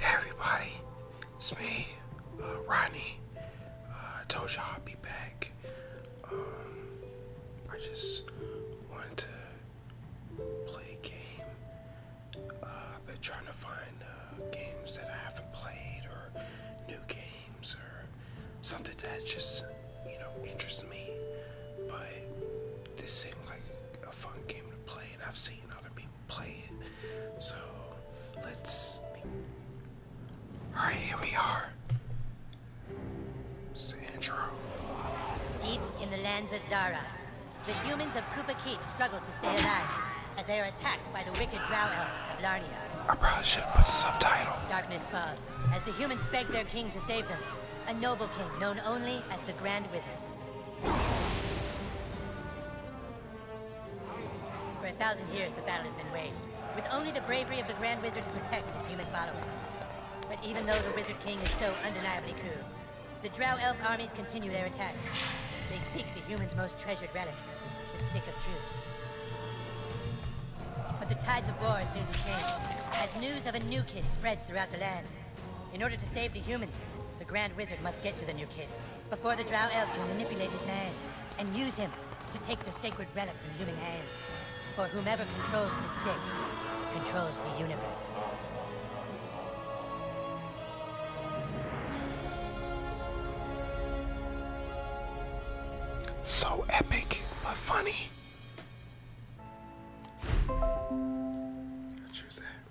everybody, it's me, uh, Rodney. Uh, I told you I'd be back. Um, I just wanted to play a game. Uh, I've been trying to find uh, games that I haven't played or new games or something that just, you know, interests me. But this seemed like a fun game to play and I've so let's. Alright, here we are. It's the Deep in the lands of Zara, the humans of Koopa Keep struggle to stay alive as they are attacked by the wicked drought elves of Larnia. I probably should have put a subtitle. Darkness falls as the humans beg their king to save them, a noble king known only as the Grand Wizard. For a thousand years, the battle has been waged, with only the bravery of the Grand Wizard to protect his human followers. But even though the Wizard King is so undeniably cool, the Drow Elf armies continue their attacks. They seek the humans' most treasured relic, the Stick of Truth. But the tides of war soon to change, as news of a new kid spreads throughout the land. In order to save the humans, the Grand Wizard must get to the new kid. Before the Drow Elves can manipulate his mind, and use him to take the sacred relic from human hands. For whomever controls the stick, controls the universe. So epic, but funny. Choose that.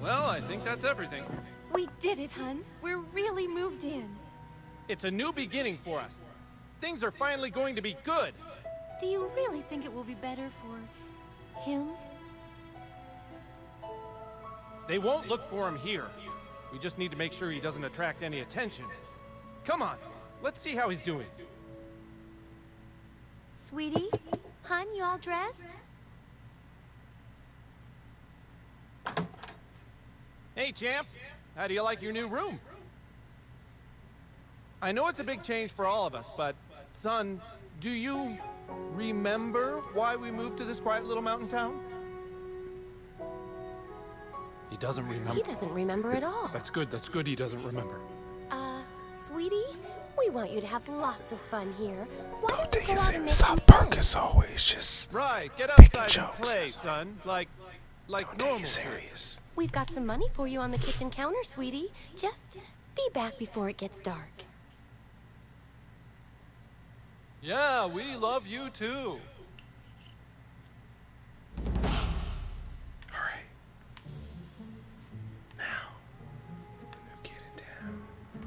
Well, I think that's everything. We did it, hun. We're really moved in. It's a new beginning for us. Things are finally going to be good. Do you really think it will be better for... him? They won't look for him here. We just need to make sure he doesn't attract any attention. Come on, let's see how he's doing. Sweetie, hun, you all dressed? Hey, champ. How do you like your new room? I know it's a big change for all of us, but, son, do you remember why we moved to this quiet little mountain town? He doesn't remember. He doesn't remember at all. That's good, that's good he doesn't remember. Uh, sweetie, we want you to have lots of fun here. Why Don't take it serious. South Park is always just right. Get outside jokes, and son. Like, like Don't normal. Take it serious. We've got some money for you on the kitchen counter, sweetie. Just be back before it gets dark. Yeah, we love you too. Alright. Now, new kid in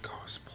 Go explore.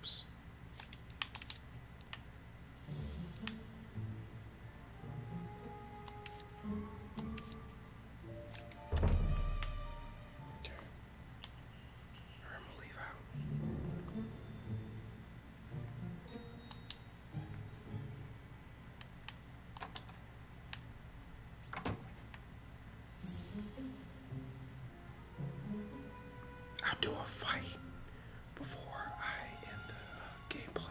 Oops. Okay. Or I'm gonna leave out. I'll do a fight before I end the uh, gameplay.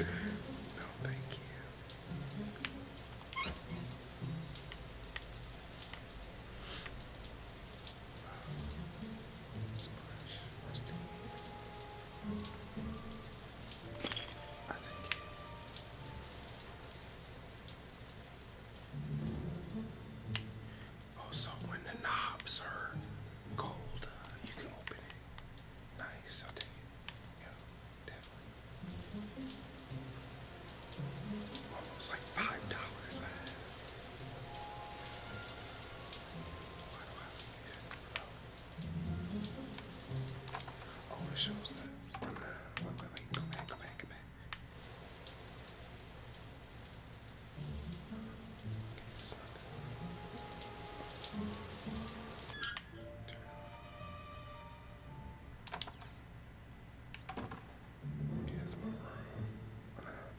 no, thank you. Um, splash, rusty. I think also, oh, when the knobs are cold, uh, you can open it. Nice, I'll take it. Yeah, definitely. Almost like five dollars. Why do I Oh, it shows Here's my room.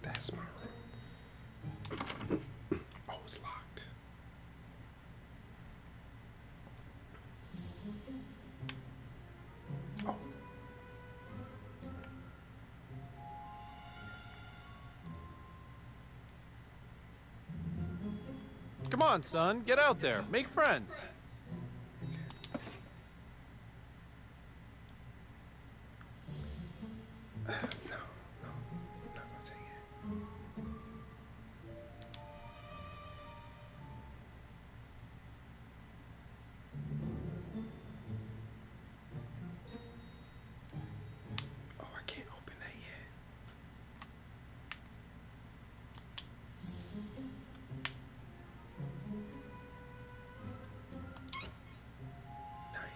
that's my room. oh, locked. Oh. Come on, son. Get out there. Make friends. Oh, I can't open that yet.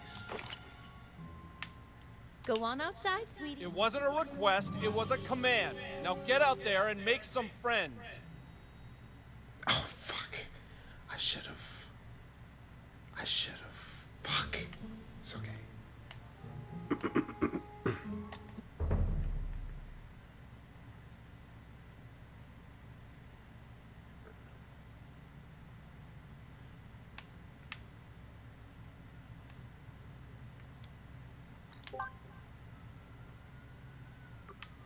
Nice. Go on outside, sweetie. It wasn't a request, it was a command. Now get out there and make some friends. Oh, fuck. I should have. I should have. Fuck. It's okay.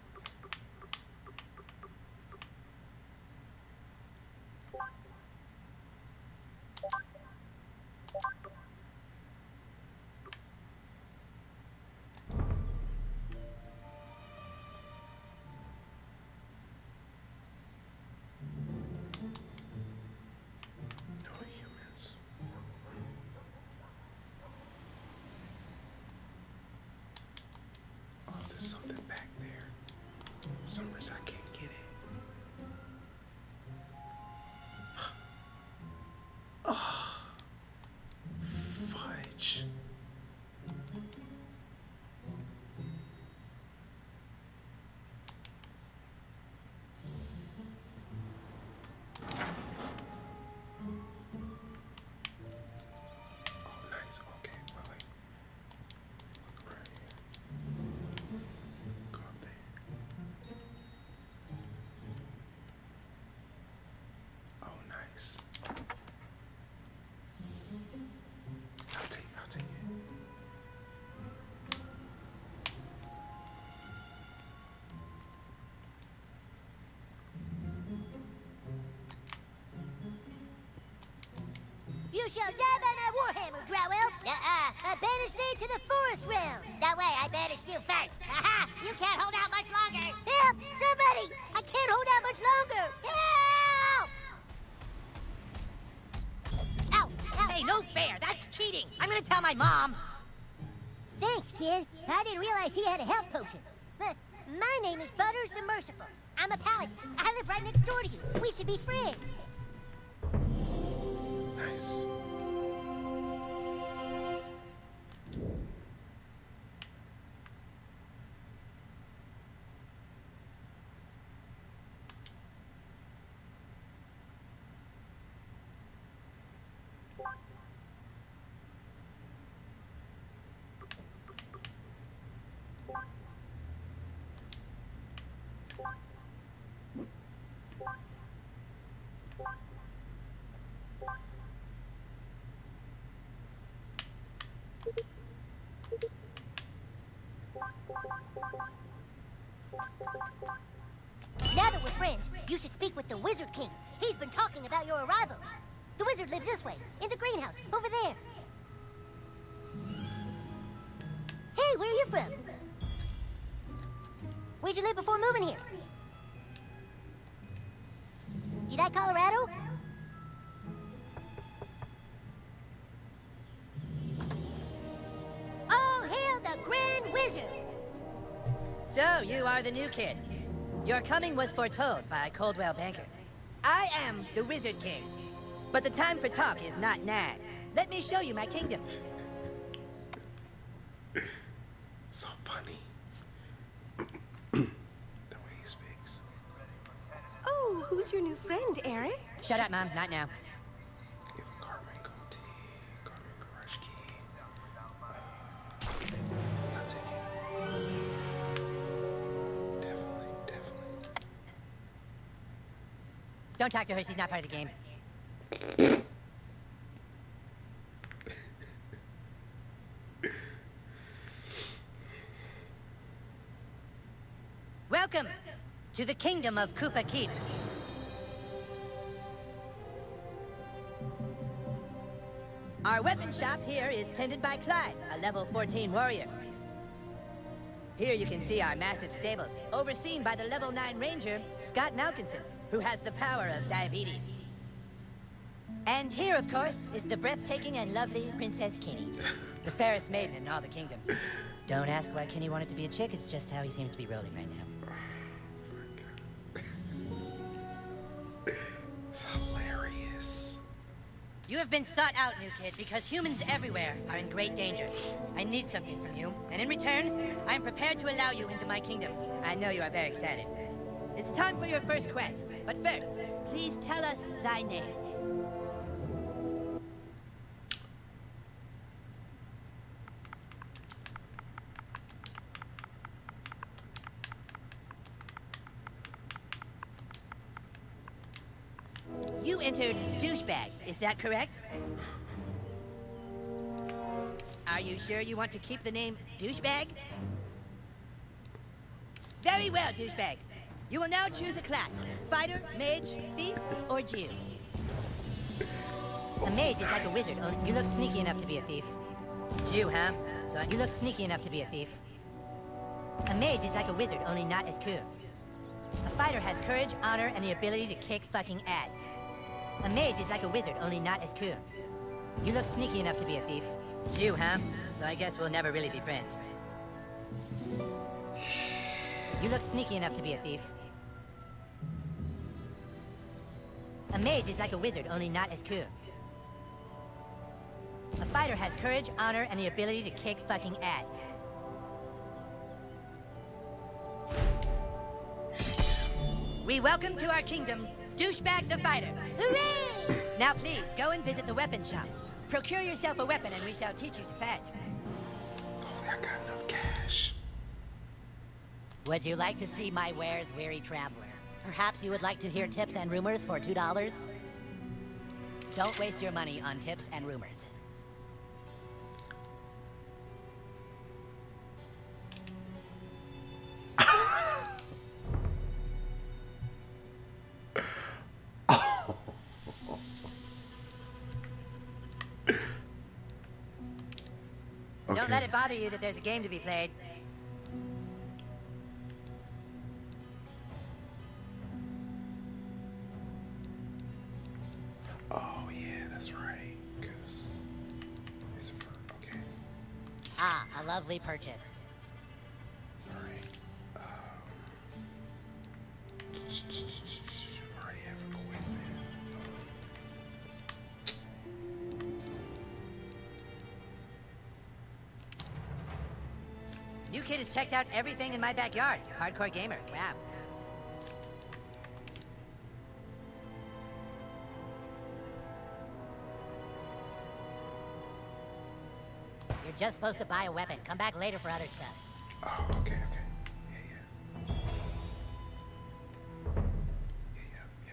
No humans. Oh, there's something back there. For I can't get it. Oh, fudge. Oh, nice. Okay, well, look around here. Go up there. Oh, nice. I'll take, I'll take it. You shall die by that warhammer, Drow Uh-uh. I banish thee to the forest realm. That way, I banish you first. Aha! You can't hold out much longer. Help! Somebody! I can't hold out much longer. Help! Hey, no fair. That's cheating. I'm gonna tell my mom. Thanks, kid. I didn't realize he had a health potion. My name is Butters the Merciful. I'm a paladin. I live right next door to you. We should be friends. Nice. Now that we're friends, you should speak with the Wizard King. He's been talking about your arrival. The wizard lives this way, in the greenhouse, over there. Hey, where are you from? Where'd you live before moving here? You like Colorado? Oh, hail the Grand Wizard! So, you are the new kid. Your coming was foretold killed by Coldwell Banker. I am the Wizard King. But the time for talk is not now. Let me show you my kingdom. so funny. the way he speaks. Oh, who's your new friend, Eric? Shut up, Mom. Not now. Don't talk to her, she's not part of the game. Welcome to the kingdom of Koopa Keep. Our weapon shop here is tended by Clyde, a level 14 warrior. Here you can see our massive stables, overseen by the level 9 ranger, Scott Malkinson, who has the power of diabetes. And here, of course, is the breathtaking and lovely Princess Kinney, the fairest maiden in all the kingdom. Don't ask why Kinney wanted to be a chick, it's just how he seems to be rolling right now it's hilarious. You have been sought out, new kid, because humans everywhere are in great danger. I need something from you, and in return, I am prepared to allow you into my kingdom. I know you are very excited. It's time for your first quest, but first, please tell us thy name. You entered douchebag, is that correct? Are you sure you want to keep the name douchebag? Very well, douchebag. You will now choose a class. Fighter, mage, thief, or Jew. A mage is like a wizard. You look sneaky enough to be a thief. Jew, huh? So you look sneaky enough to be a thief. A mage is like a wizard, only not as cool. A fighter has courage, honor, and the ability to kick fucking ass. A mage is like a wizard, only not as cool. You look sneaky enough to be a thief. Jew, huh? So I guess we'll never really be friends. You look sneaky enough to be a thief. A mage is like a wizard, only not as cool. A fighter has courage, honor, and the ability to kick fucking ass. We welcome to our kingdom, Douchebag the Fighter. Hooray! Now please, go and visit the weapon shop. Procure yourself a weapon and we shall teach you to fight. Hopefully oh, I got enough cash. Would you like to see my wares, weary traveler? Perhaps you would like to hear tips and rumors for $2? Don't waste your money on tips and rumors. Don't let it bother you that there's a game to be played. Oh, yeah, that's right. Ah, a lovely purchase. Um, New kid has checked out everything in my backyard. Hardcore gamer. Wow. You're just supposed to buy a weapon. Come back later for other stuff. Oh, okay, okay. Yeah, yeah. Yeah, yeah,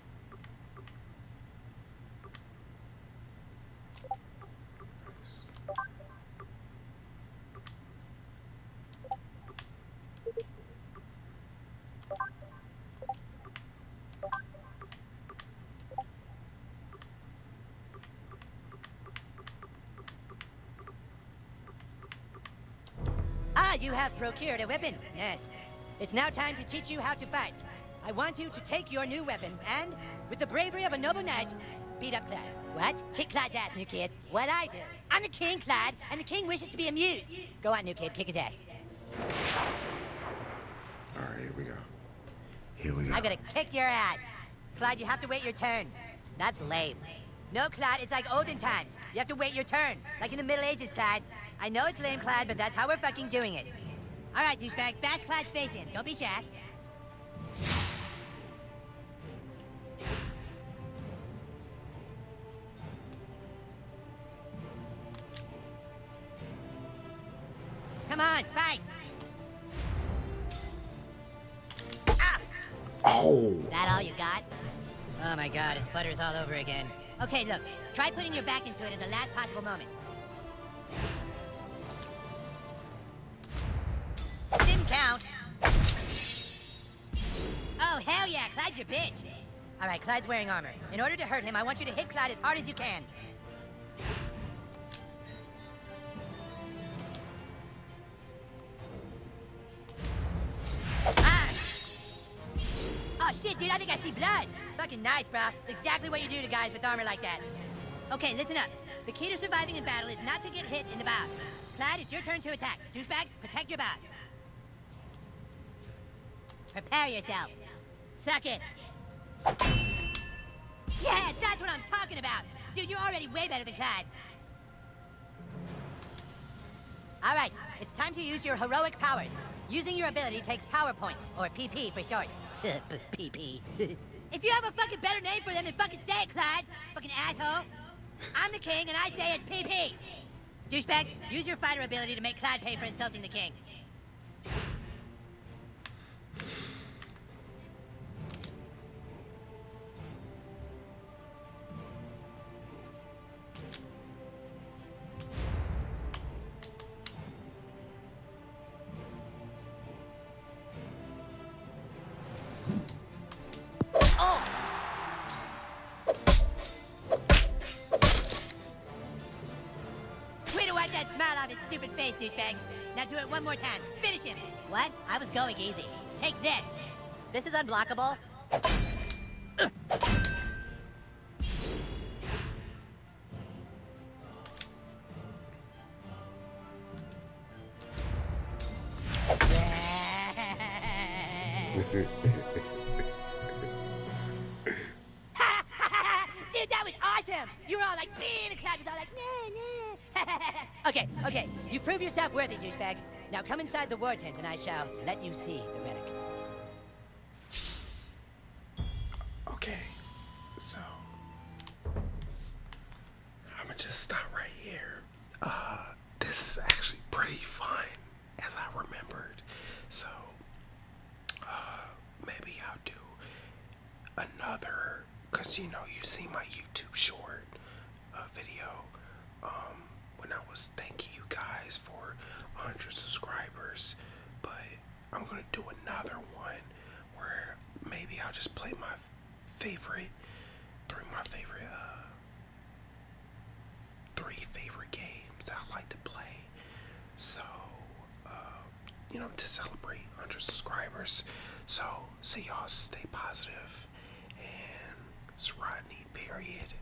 Ah, you have procured a weapon. Yes. It's now time to teach you how to fight. I want you to take your new weapon and, with the bravery of a noble knight, beat up Clyde. What? Kick Clyde's ass, new kid. What I do. I'm the king, Clyde, and the king wishes to be amused. Go on, new kid, kick his ass. All right, here we go. Here we go. I'm gonna kick your ass. Clyde, you have to wait your turn. That's lame. No, Clyde, it's like olden times. You have to wait your turn, like in the Middle Ages, Clyde. I know it's lame, Clad, but that's how we're fucking doing it. All right, douchebag, bash Clad's face in. Don't be shy. Come on, fight! Oh! That all you got? Oh my god, it's butters all over again. Okay, look. Try putting your back into it at the last possible moment. Sim count. Oh, hell yeah. Clyde's your bitch. All right, Clyde's wearing armor. In order to hurt him, I want you to hit Clyde as hard as you can. Ah! Oh shit, dude, I think I see blood. Fucking nice, bro. exactly what you do to guys with armor like that. Okay, listen up. The key to surviving in battle is not to get hit in the back. Clyde, it's your turn to attack. Douchebag, protect your back. Prepare yourself. Suck it. Yeah, that's what I'm talking about. Dude, you're already way better than Clyde. All right, it's time to use your heroic powers. Using your ability takes power points, or PP for short. PP. if you have a fucking better name for them, then fucking say it, Clyde. Fucking asshole. I'm the king, and I say it's PP. Douchebag, use your fighter ability to make Clyde pay for insulting the king. Oh! smile off his stupid face, Now do it one more time. Finish him. What? I was going easy. Take this. This is unblockable. Dude, that was awesome! You were all like, man, the crowd was all like, nah, nah. okay, okay, you prove yourself worthy, juicebag. Now come inside the war tent and I shall let you see the relic. Okay, so I'm gonna just stop right here. Uh, this is actually pretty fun as I remembered, so uh, maybe I'll do another because you know, you see my YouTube short uh, video. Um, when I was thanking you guys for 100 subscribers, but I'm gonna do another one where maybe I'll just play my favorite, three my favorite, uh, three favorite games I like to play. So, uh, you know, to celebrate 100 subscribers. So, see y'all, stay positive, and it's Rodney, period.